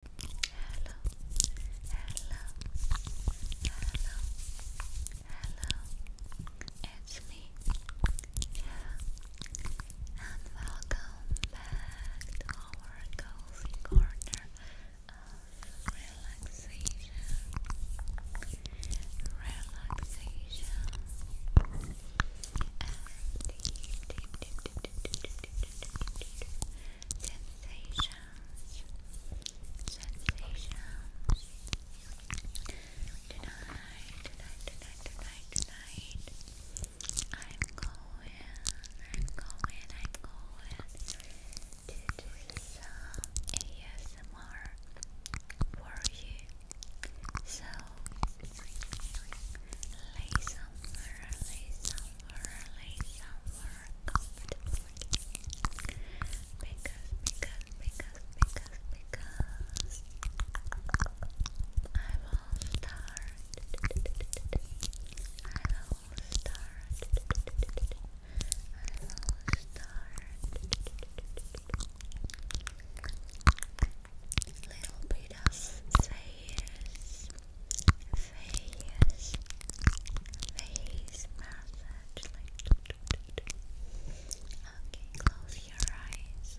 hello, hello, hello, it's me, and welcome back to our cozy corner of relaxation, relaxation, sensations, sensations. Tonight, tonight, tonight, tonight, tonight. I'm going, I'm going, I'm going to do some ASMR for you. So, listen, listen, somewhere, somewhere comfortable because, because, because, because, because I will start, I will start, I will start little bit of face face, face massage. okay, close your eyes.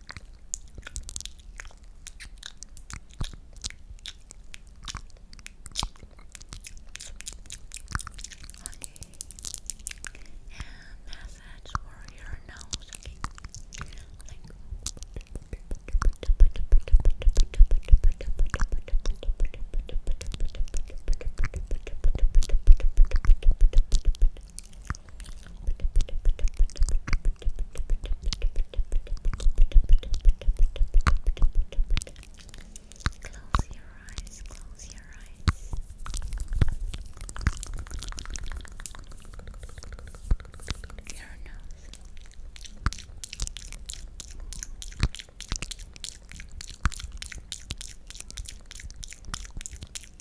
Okay. And massage for your nose, okay? Like Close your eyes, close your eyes. Your nose. Your and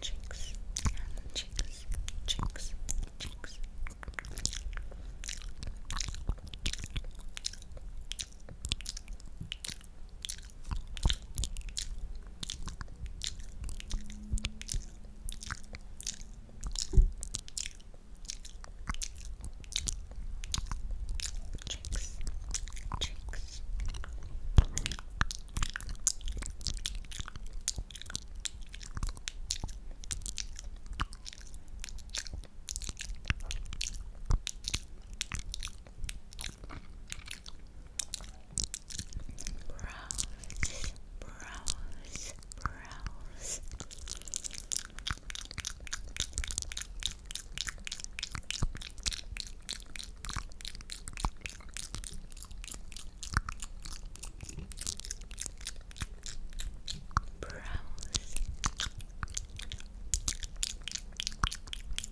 cheeks, and cheeks, cheeks, cheeks. Chicks. Chicks. Brows, brows, brows. Brows.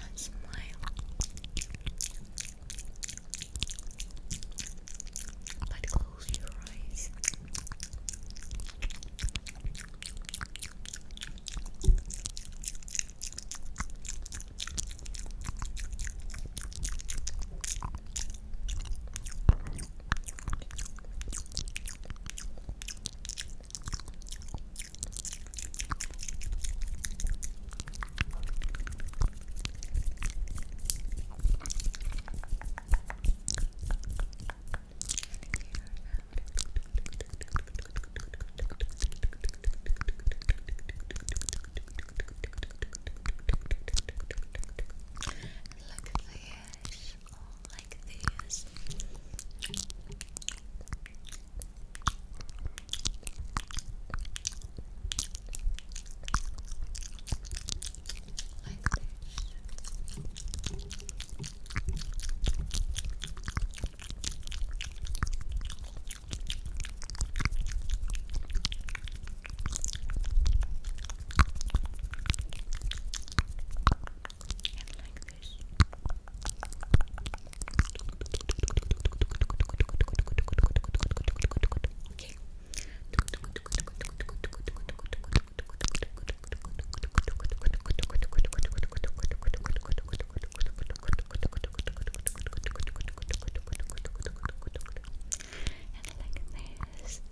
and smile. But close your eyes. Look at the fish all like this. Like this and like this. Okay. And like this.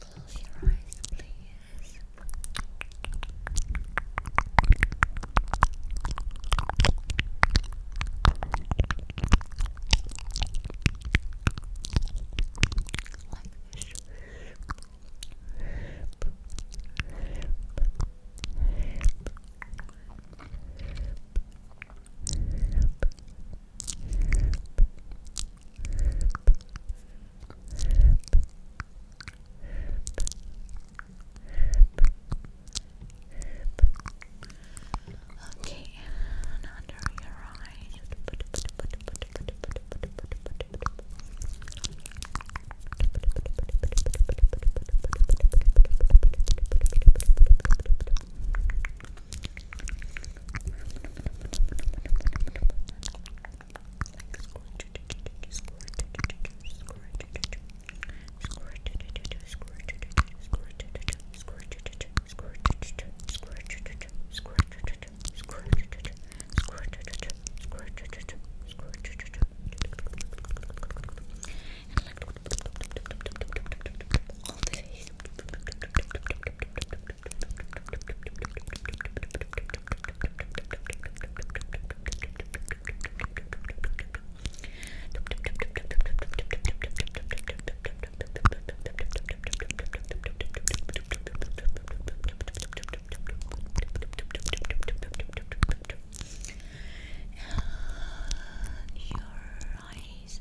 Close your eyes, please. Okay, and under your eyes all the your eyes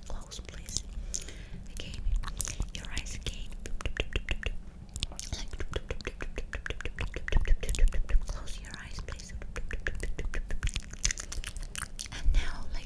close, please. Again, your eyes again like close your eyes, please. And now, like.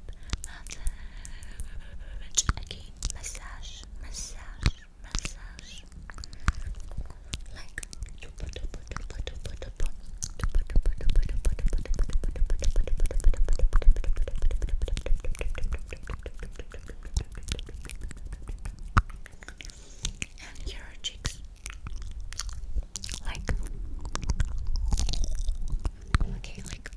massage. Again, massage, massage, massage. Like and here cheeks. Like okay, like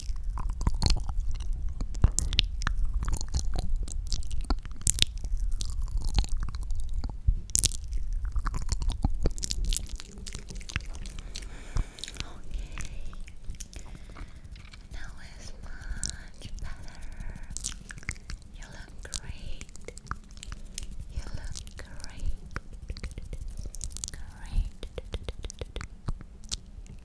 Now it's much better. You look great. You look great. Great.